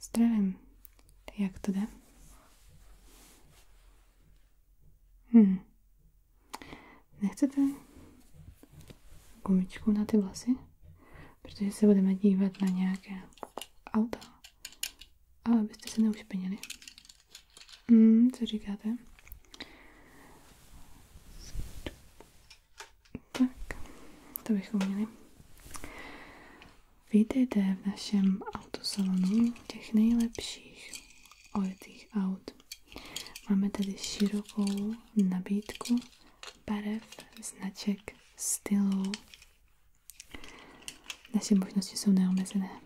Zdravím. Jak to jde? Hm. Nechcete gumičku na ty vlasy? Protože se budeme dívat na nějaké auto. A abyste se neušpinili. Hm, co říkáte? Tak, to bychom měli. Vítejte v našem autosalonu těch nejlepších ojetých aut. Máme tedy širokou nabídku barev, značek, stylů. Naše možnosti jsou neomezené.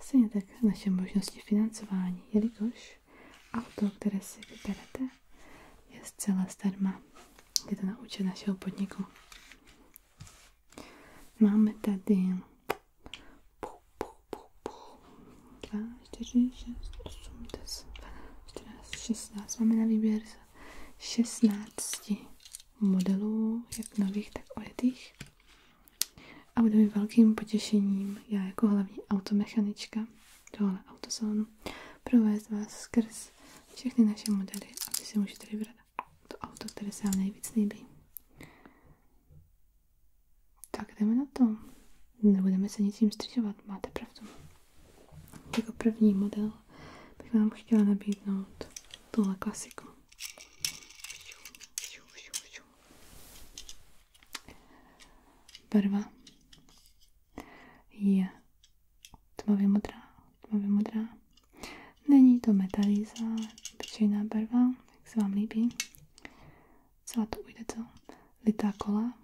Stejně tak naše možnosti financování, jelikož auto, které si vyberete, je zcela zdarma. Je to na účet našeho podniku. Máme tady 2, 4, 6, 8, 10, 12, 14, 16. Máme na výběr šestnácti modelů, jak nových, tak ojetých. A bude mi velkým potěšením, já jako hlavní automechanička tohle autosalonu, provést vás skrz všechny naše modely a si můžete vybrat to auto, které se vám nejvíc líbí. Tak jdeme na to. Nebudeme se nic ničím střižovat, máte pravdu. Jako první model bych vám chtěla nabídnout tuhle klasiku. Barva je tmavě modrá, tmavě modrá. Není to metalíza, obyčejná barva, jak se vám líbí. Celá to ujde co? Litá kola.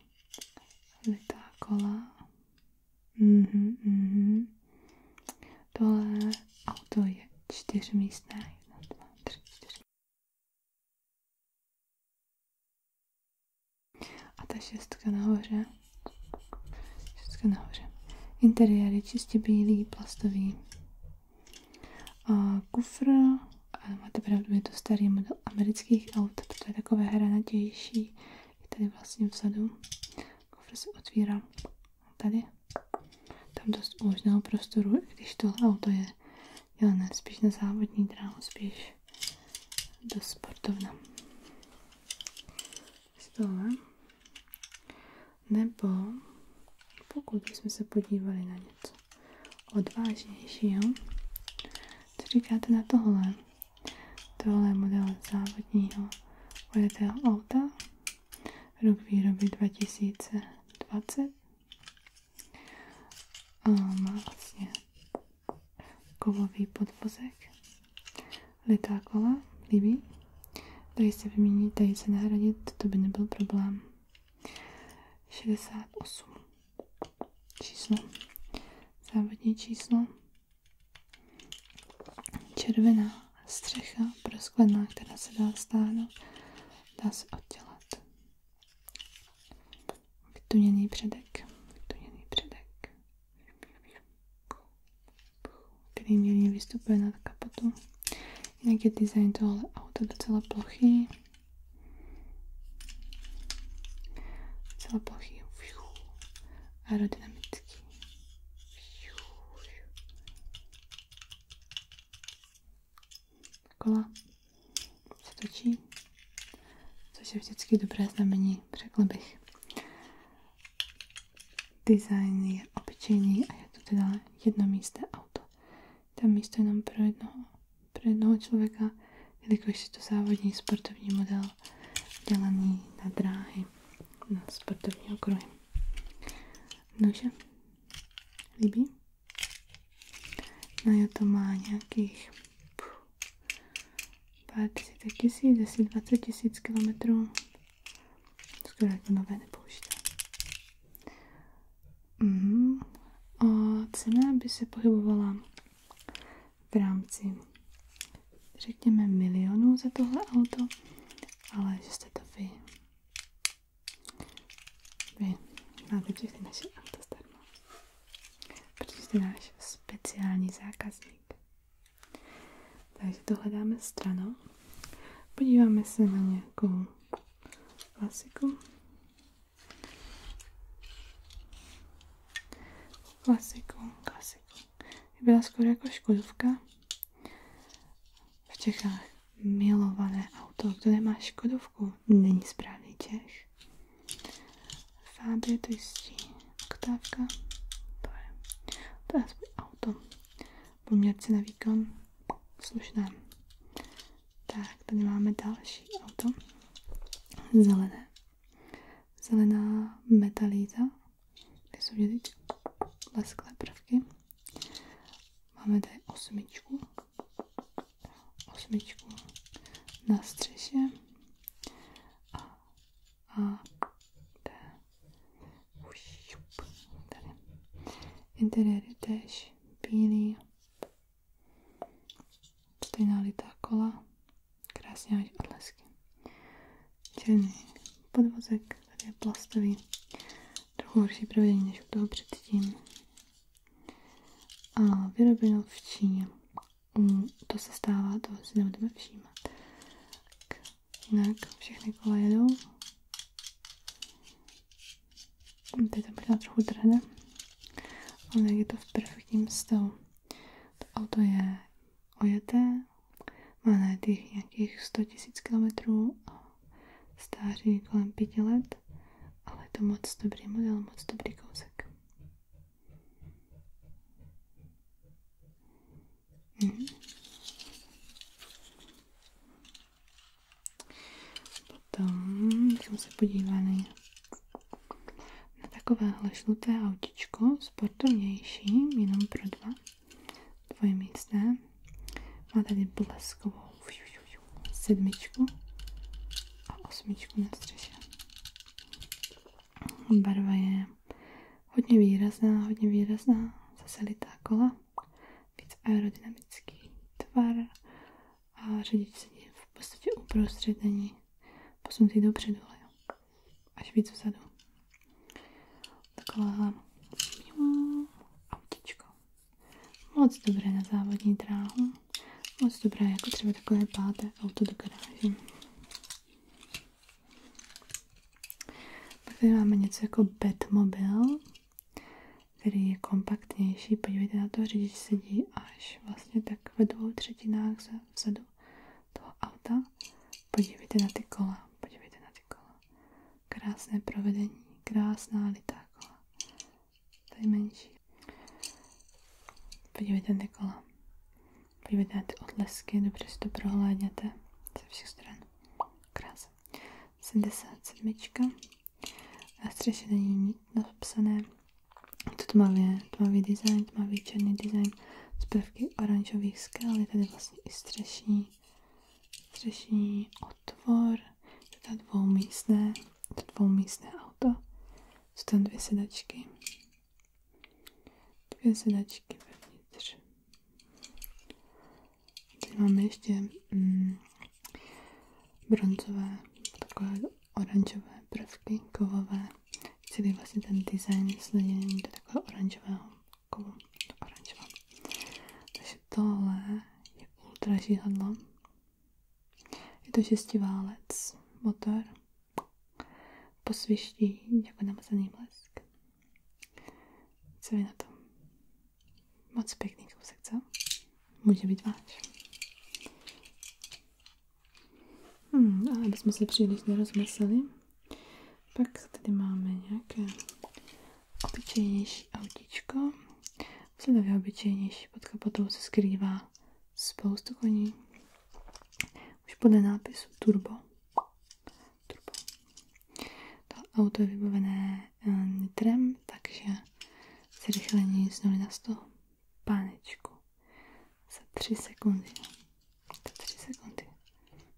Litá kola. Mhm, mhm. Tohle auto je čtyřmístné. A ta šestka nahoře. Šestka nahoře. Interiér je čistě bílý, plastový. A kufr. A máte pravdu, je to starý model amerických aut, protože je takové hranatější. Je tady vlastně vzadu. Kufr se otvírá tady. Tam dost úžného prostoru, i když tohle auto je dělané spíš na závodní dráhu, spíš do sportovna z nebo pokud bychom se podívali na něco odvážnějšího, co říkáte na tohle? Tohle je model závodního vojetého auta, rok výroby 2020. A má vlastně kovový podvozek, litá kola, líbí. Dají se vyměnit, tady se nahradit, to by nebyl problém. 68 číslo, závodní číslo, červená střecha prosklená, která se dá stáhnout, dá se oddělat vytuněný předek, vytuněný předek, který mírně vystupuje nad kapotu. Jinak je design tohle auta docela plochý. Docela plochý aerodynamický. Kola se točí což je vždycky dobré znamení, řekla bych. Design je obyčejný a je to teda jednomístné auto. Tam místo jenom pro jednoho, pro jednoho člověka, jelikož je to závodní sportovní model dělaný na dráhy, na sportovní okruhy. Nože, líbí? No je to má nějakých pů, pár desítek tisíc, 10, 20 tisíc kilometrů. Skoro jako nové nepoužité. Mm. A cena by se pohybovala v rámci, řekněme, milionů za tohle auto, ale že jste to vy. Vy máte všechny naše auta zdarma. Protože jsi náš speciální zákazník. Takže tohle dáme stranou. Podíváme se na nějakou klasiku. Klasiku, klasiku. Byla skoro jako škodovka. V Čechách milované auto. Kdo nemá škodovku, není správný Čech zády, to jistí oktávka, to je, to je aspoň auto, Poměrce na výkon, slušné. Tak, tady máme další auto, zelené, zelená metalíza, kde jsou vidět lesklé prvky. Máme tady osmičku, osmičku na střeše a, a tady. Interiéry též bílý. Stejná litá kola. Krásně až odlesky. Černý podvozek. Tady je plastový. Trochu horší provedení než u toho předtím a vyrobeno v Číně. Mm, to se stává, to si nebudeme všímat. Tak, jinak všechny kola jedou. Mm, teď to možná trochu trhne, ale je to v perfektním stavu. To auto je ojeté, má na nějakých 100 000 km a stáří kolem 5 let ale je to moc dobrý model, moc dobrý kousek. Mhm. Potom jsem se podívala na, takové takovéhle autičko, sportovnější, jenom pro dva, dvojmístné. Má tady bleskovou sedmičku a osmičku na střeše. Barva je hodně výrazná, hodně výrazná, zase litá kola, víc aerodynamický tvar a řidič sedí v podstatě uprostřed, není posunutý dopředu, ale až víc vzadu. Taková autíčko. Moc dobré na závodní dráhu. Moc dobré jako třeba takové páté auto do garáže. tady máme něco jako Batmobil, který je kompaktnější. Podívejte na to, řidič sedí až vlastně tak ve dvou třetinách vzadu toho auta. Podívejte na ty kola, podívejte na ty kola. Krásné provedení, krásná litá to je menší. Podívejte na ty kola. Podívejte ty odlesky, dobře si to prohládněte ze všech stran. Krása. 77. A střeše není nic napsané. To tmavě, tmavý design, tmavý černý design z prvky oranžových skal. Je tady vlastně i střešní, střešní od tvor, teda dvoumístné, to dvoumístné auto. Jsou tam dvě sedačky. Dvě sedačky vevnitř. Tady máme ještě mm, bronzové, takové oranžové prvky, kovové. Celý vlastně ten design sledění do takového oranžového kovu. Oranžového. Takže tohle je ultra je to šestiválec, motor, posviští jako namazaný blesk. Co je na tom? Moc pěkný kousek, co? Může být váš. Hmm, a aby jsme se příliš nerozmysleli, pak tady máme nějaké obyčejnější autíčko. V sledově obyčejnější pod kapotou se skrývá spoustu koní. Už podle nápisu Turbo. Turbo. To auto je vybavené eh, nitrem, takže zrychlení z 0 na sto Pánečku. Za tři sekundy. Za 3 sekundy.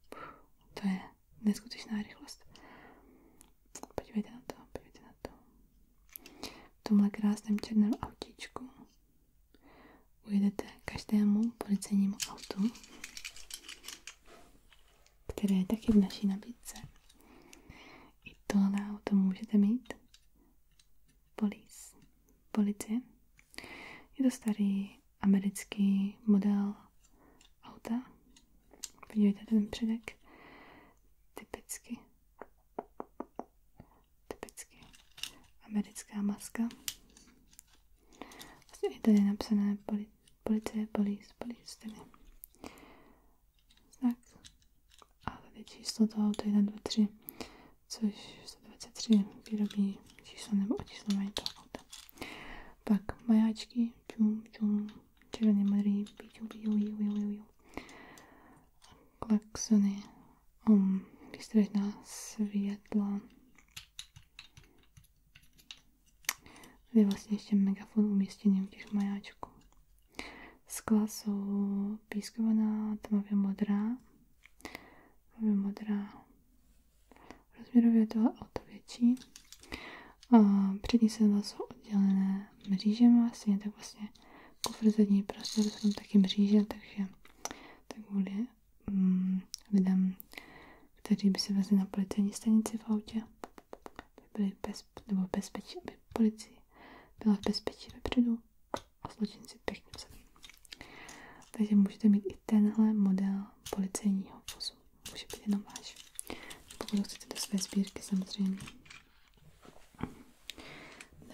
Puh, to je neskutečná rychlost. Podívejte na to, podívejte na to. V tomhle krásném černém autíčku ujedete každému policejnímu autu, které je taky v naší nabídce. I tohle auto můžete mít. Police. Policie. Je to starý americký model auta. Vidíte ten předek? typicky typicky americká maska. Vlastně je tady napsané poli, policie, police, police, tedy znak. A tady číslo toho, to je 1, 2, 3, což 123 výrobní číslo nebo číslo mají toho auta. Pak majáčky, čum, čum, Červený Marii, píču, píču, píču, píču, Klaxony, um, výstražná světla. Tady je vlastně ještě megafon umístěný u těch majáčků. Skla jsou pískovaná, tmavě modrá. Tmavě modrá. Rozměrově je to o to větší. Přední sedla jsou oddělené mřížema, stejně tak vlastně kufr zadní prostor jsou tam taky mříže, takže tak kvůli mm, lidem, kteří by se vezli na policejní stanici v autě, by byli bez, nebo bezpečí, aby policii byla v bezpečí vepředu a zločinci pěkně vzadu. Takže můžete mít i tenhle model policejního vozu času. Může být jenom váš. Pokud chcete do své sbírky, samozřejmě.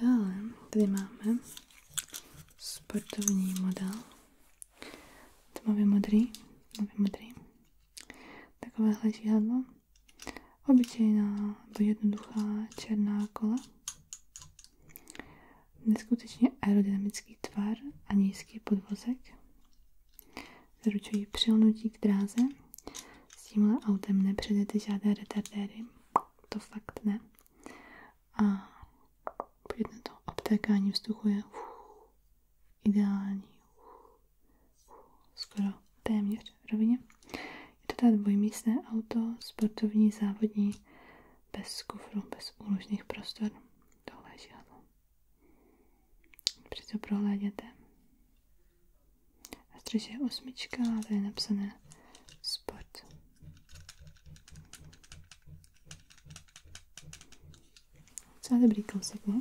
Dále tady máme sportovní model. Tmavě modrý. Tmavě modrý. Takovéhle žihadlo. Obyčejná nebo jednoduchá černá kola. Neskutečně aerodynamický tvar a nízký podvozek. Zaručuji přilnutí k dráze. S tímhle autem nepředete žádné retardéry. To fakt ne. A pojď to. Obtékání vzduchu je ideální. skoro téměř rovině. Je to teda dvojmístné auto, sportovní, závodní, bez kufru, bez úložných prostor. Tohle je žádlo. Při to prohlédněte. Na střeše je osmička a tady je napsané sport. Docela dobrý kousek, ne?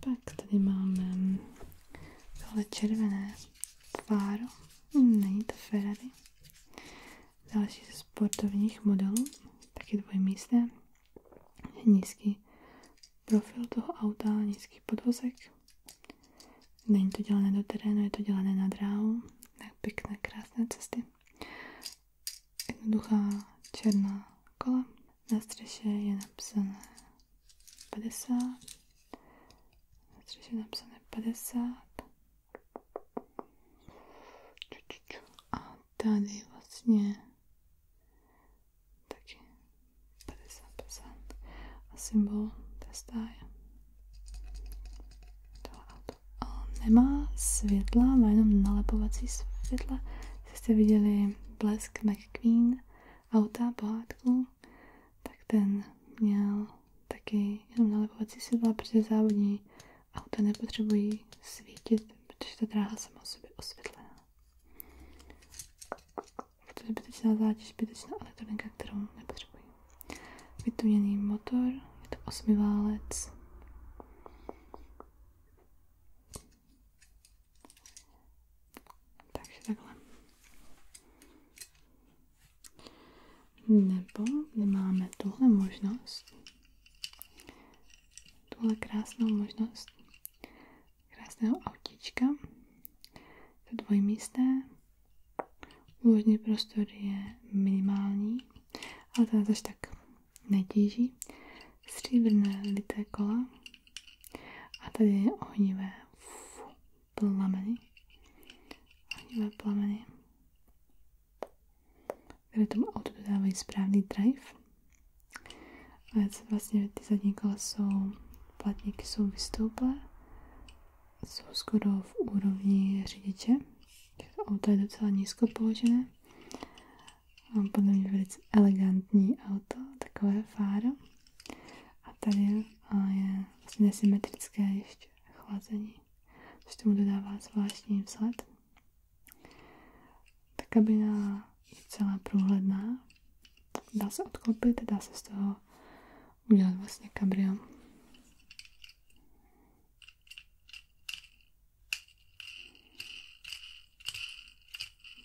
Pak tady máme tohle červené fáro. Není to Ferrari. Další ze sportovních modelů, taky dvojmístné, nízký profil toho auta, nízký podvozek. Není to dělané do terénu, je to dělané na dráhu, na pěkné, krásné cesty. Jednoduchá černá kola. Na střeše je napsané 50. Na střeše je napsané 50. A tady vlastně taky 50% a symbol té stáje. Tohle auto. A nemá světla, má jenom nalepovací světla. Jestli jste viděli blesk McQueen auta, pohádku, tak ten měl taky jenom nalepovací světla, protože závodní Auta nepotřebují svítit, protože ta dráha sama sobě osvětlená. To je zbytečná zátěž, zbytečná elektronika, kterou nepotřebují. Vytuněný motor, je to osmiválec. Takže takhle. Nebo máme tuhle možnost, tuhle krásnou možnost krásného autička, To dvojmísté. Úložný prostor je minimální, ale to nás tak netíží. Stříbrné lité kola. A tady je ohnivé plameny. Ohnivé plameny které tomu autu dodávají správný drive. A je to vlastně ty zadní kola jsou, platníky jsou vystouplé, jsou skoro v úrovni řidiče. auto je docela nízko položené. Mám podle mě velice elegantní auto, takové fáro. A tady je vlastně nesymetrické ještě chlazení což tomu dodává zvláštní vzhled. Ta kabina je celá průhledná, dá se odklopit, dá se z toho udělat vlastně kabrio.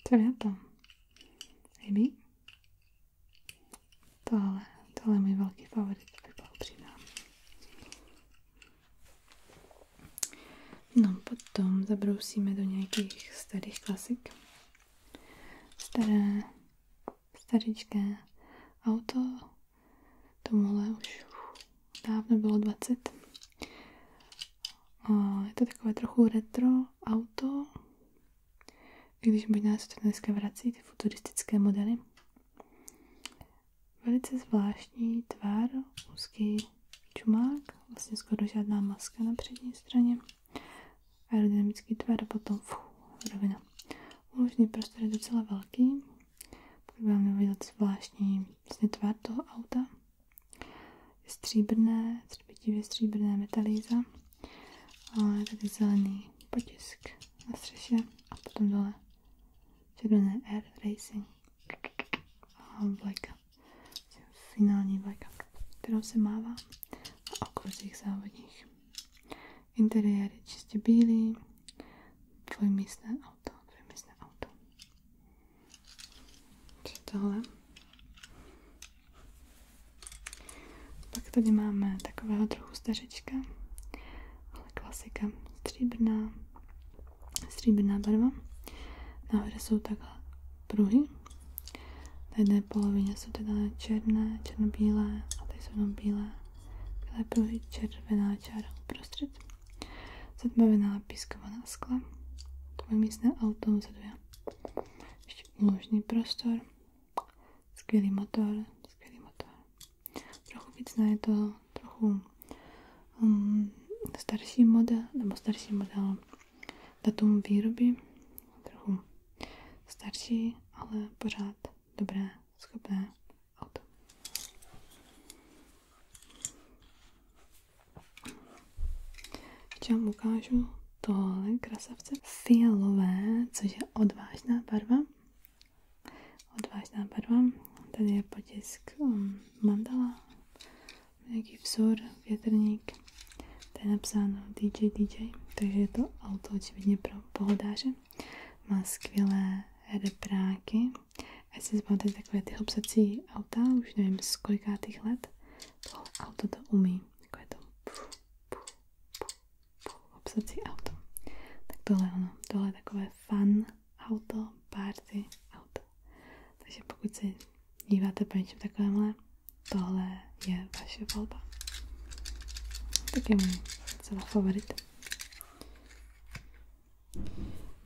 Co je to? Líbí? Tohle, tohle je můj velký favorit, vyblahopřidám. No, potom zabrousíme do nějakých starých klasik. Staré, staričké auto, tomuhle už dávno bylo 20. A je to takové trochu retro auto, když možná se to dneska vrací, ty futuristické modely. Velice zvláštní tvar, úzký čumák, vlastně skoro žádná maska na přední straně. Aerodynamický tvar a potom fuh, rovina. Uložný prostor je docela velký, pokud vám vidět zvláštní vlastně tvar toho auta. Je stříbrné, třpitivě stříbrné metalíza, ale tady zelený potisk na střeše a tady dole červené Air Racing a vlajka, finální vlajka, kterou se mává na okruzích závodních. Interiér je čistě bílý, dvojmístné auto, dvojmístné auto. Co tohle? Pak tady máme takového trochu stařečka, ale klasika. Stříbrná, stříbrná barva. Nahoře jsou takhle pruhy. Na jedné polovině jsou teda černé, černobílé a tady jsou jenom bílé. Bílé pruhy, červená čára uprostřed. Zatmavená pískovaná skla. Tvoje místné auto za dvě. Ještě úložný prostor. Skvělý motor, skvělý motor trochu vícné, je to trochu um, starší model, nebo starší model datum výroby, trochu starší, ale pořád dobré, schopné auto. Ještě vám ukážu tohle krasavce fialové, což je odvážná barva odvážná barva. Tady je potisk um, mandala, nějaký vzor, větrník. Tady je napsáno DJ DJ, takže je to auto očividně pro pohodáře. Má skvělé repráky. Já si zbavíte takové ty hopsací auta, už nevím z kolikátých let. Tohle auto to umí. Takové to obsat auto. Tak tohle ano, tohle je takové fun auto, party auto. Takže pokud si díváte po něčem takovémhle, tohle je vaše volba. Tak je můj celá favorit.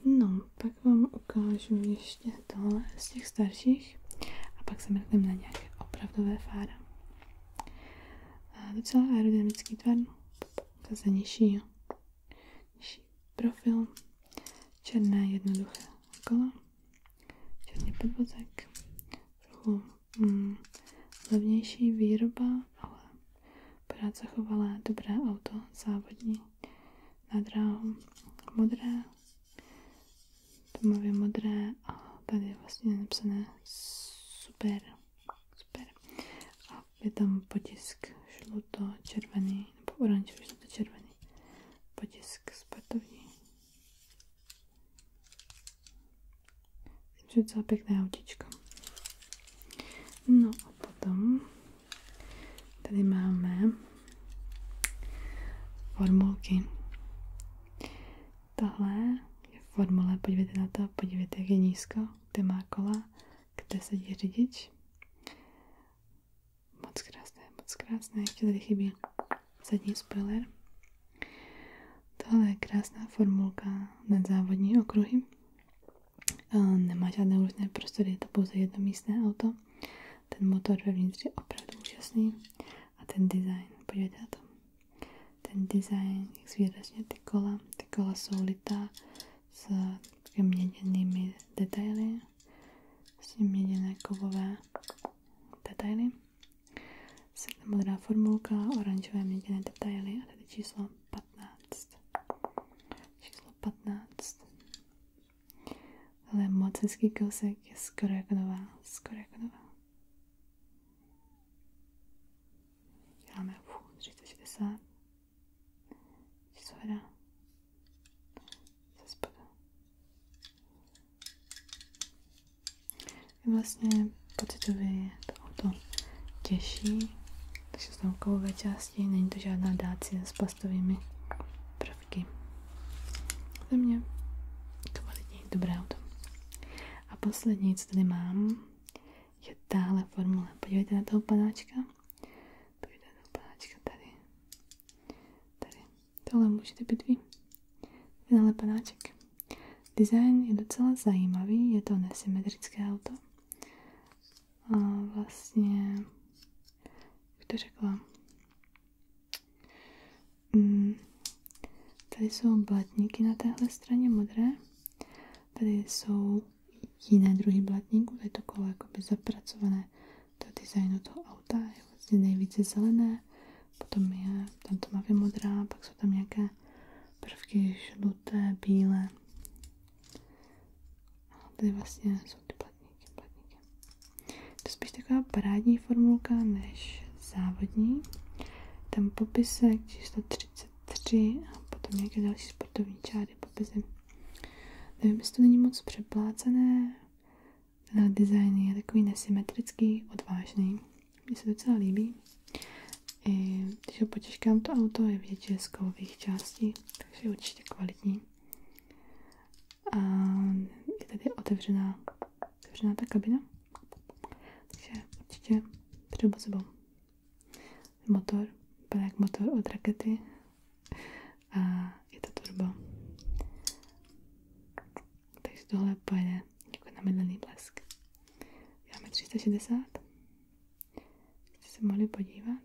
No, pak vám ukážu ještě tohle z těch starších a pak se mrknem na nějaké opravdové fára. A docela aerodynamický tvar, zase nižší, nižší profil, černé jednoduché kola, černý podvozek, trochu mm, levnější výroba, ale pořád chovala dobré auto, závodní na dráhu, modré, tmavě modré a tady je vlastně napsané super, super. A je tam potisk žluto, červený, nebo oranžový, žluto, červený. Potisk sportovní. Myslím, že docela pěkné autíčko. No a potom tady máme formulky. Tahle je formule, podívejte na to, podívejte, jak je nízko, kde má kola, kde sedí řidič. Moc krásné, moc krásné, ještě tady chybí zadní spoiler. Tohle je krásná formulka na závodní okruhy. Nemá žádné různé prostory, je to pouze jednomístné auto. Ten motor vevnitř je opravdu úžasný a ten design, podívejte na to. Ten design, jak zvýrazně ty kola, ty kola jsou litá s takovými měděnými detaily, s měděné kovové detaily. Světle modrá formulka, oranžové měděné detaily a tady číslo 15. Číslo 15. Ale moc hezký kousek je skoro jako nová, skoro jako nová. Děláme 360. Co hledá? Se spodu. Je vlastně pocitově je to auto těžší, takže jsou kovové části, není to žádná dácie s plastovými prvky. Za mě kvalitní, dobré auto. A poslední, co tady mám, je tahle formule. Podívejte na toho panáčka. Podívejte na toho panáčka tady. Tady. Tohle můžete být vy. Tenhle panáček. Design je docela zajímavý, je to nesymetrické auto. A vlastně, jak to řekla, Mm. Tady jsou blatníky na téhle straně modré. Tady jsou jiné druhy blatníků, tady to kolo jakoby zapracované do designu toho auta, je vlastně nejvíce zelené, potom je tam tmavě modrá, pak jsou tam nějaké prvky žluté, bílé. A tady vlastně jsou ty blatníky, blatníky. To je spíš taková parádní formulka než závodní. Tam popisek číslo 33 a potom nějaké další sportovní čáry popisy. Nevím, jestli to není moc přeplácené. Ten design je takový nesymetrický, odvážný. Mně se docela líbí. I když ho potěžkám to auto, je vidět, že je z kovových částí, takže je určitě kvalitní. A je tady otevřená otevřená ta kabina, takže určitě třeba sebou motor, vypadá jak motor od rakety a je to turbo. Takže tohle pojede jako namedlený blesk. Děláme 360. Jste se mohli podívat.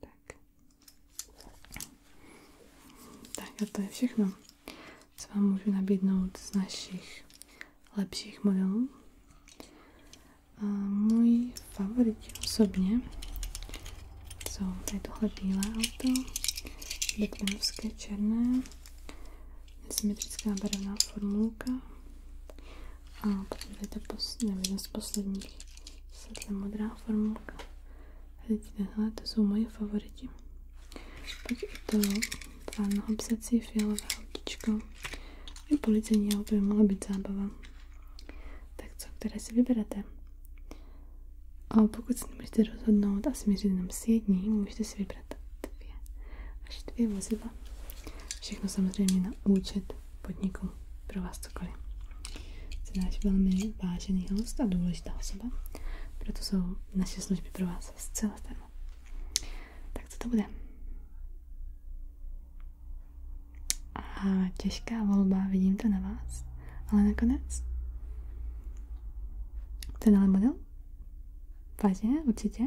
Tak. Tak a to je všechno, co vám můžu nabídnout z našich lepších modelů. A můj favorit osobně jsou tady tohle bílé auto, Batmanovské černé nesymetrická barevná formulka a potom tady ta pos, nevím, z posledních světle modrá formulka. Teď tenhle, to jsou moje favoriti. Pak je to plánoho psací fialové autíčko. I policejní auto by mohla být zábava. Tak co, které si vyberete? A pokud se nemůžete rozhodnout a smířit nám s jedním, můžete si vybrat vybrat dvě až dvě vozidla. Všechno samozřejmě na účet podniku pro vás cokoliv. Jste náš velmi vážený host a důležitá osoba, proto jsou naše služby pro vás zcela zdarma. Tak co to bude? A těžká volba, vidím to na vás, ale nakonec ten ale model? Vážně, určitě.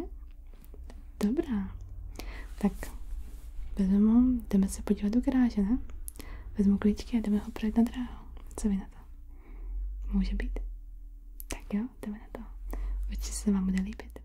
Dobrá. Tak vezmu, jdeme se podívat do garáže, ne? Vezmu klíčky a jdeme ho projet na dráhu. Co vy na to? Může být? Tak jo, jdeme na to. Určitě se vám bude líbit.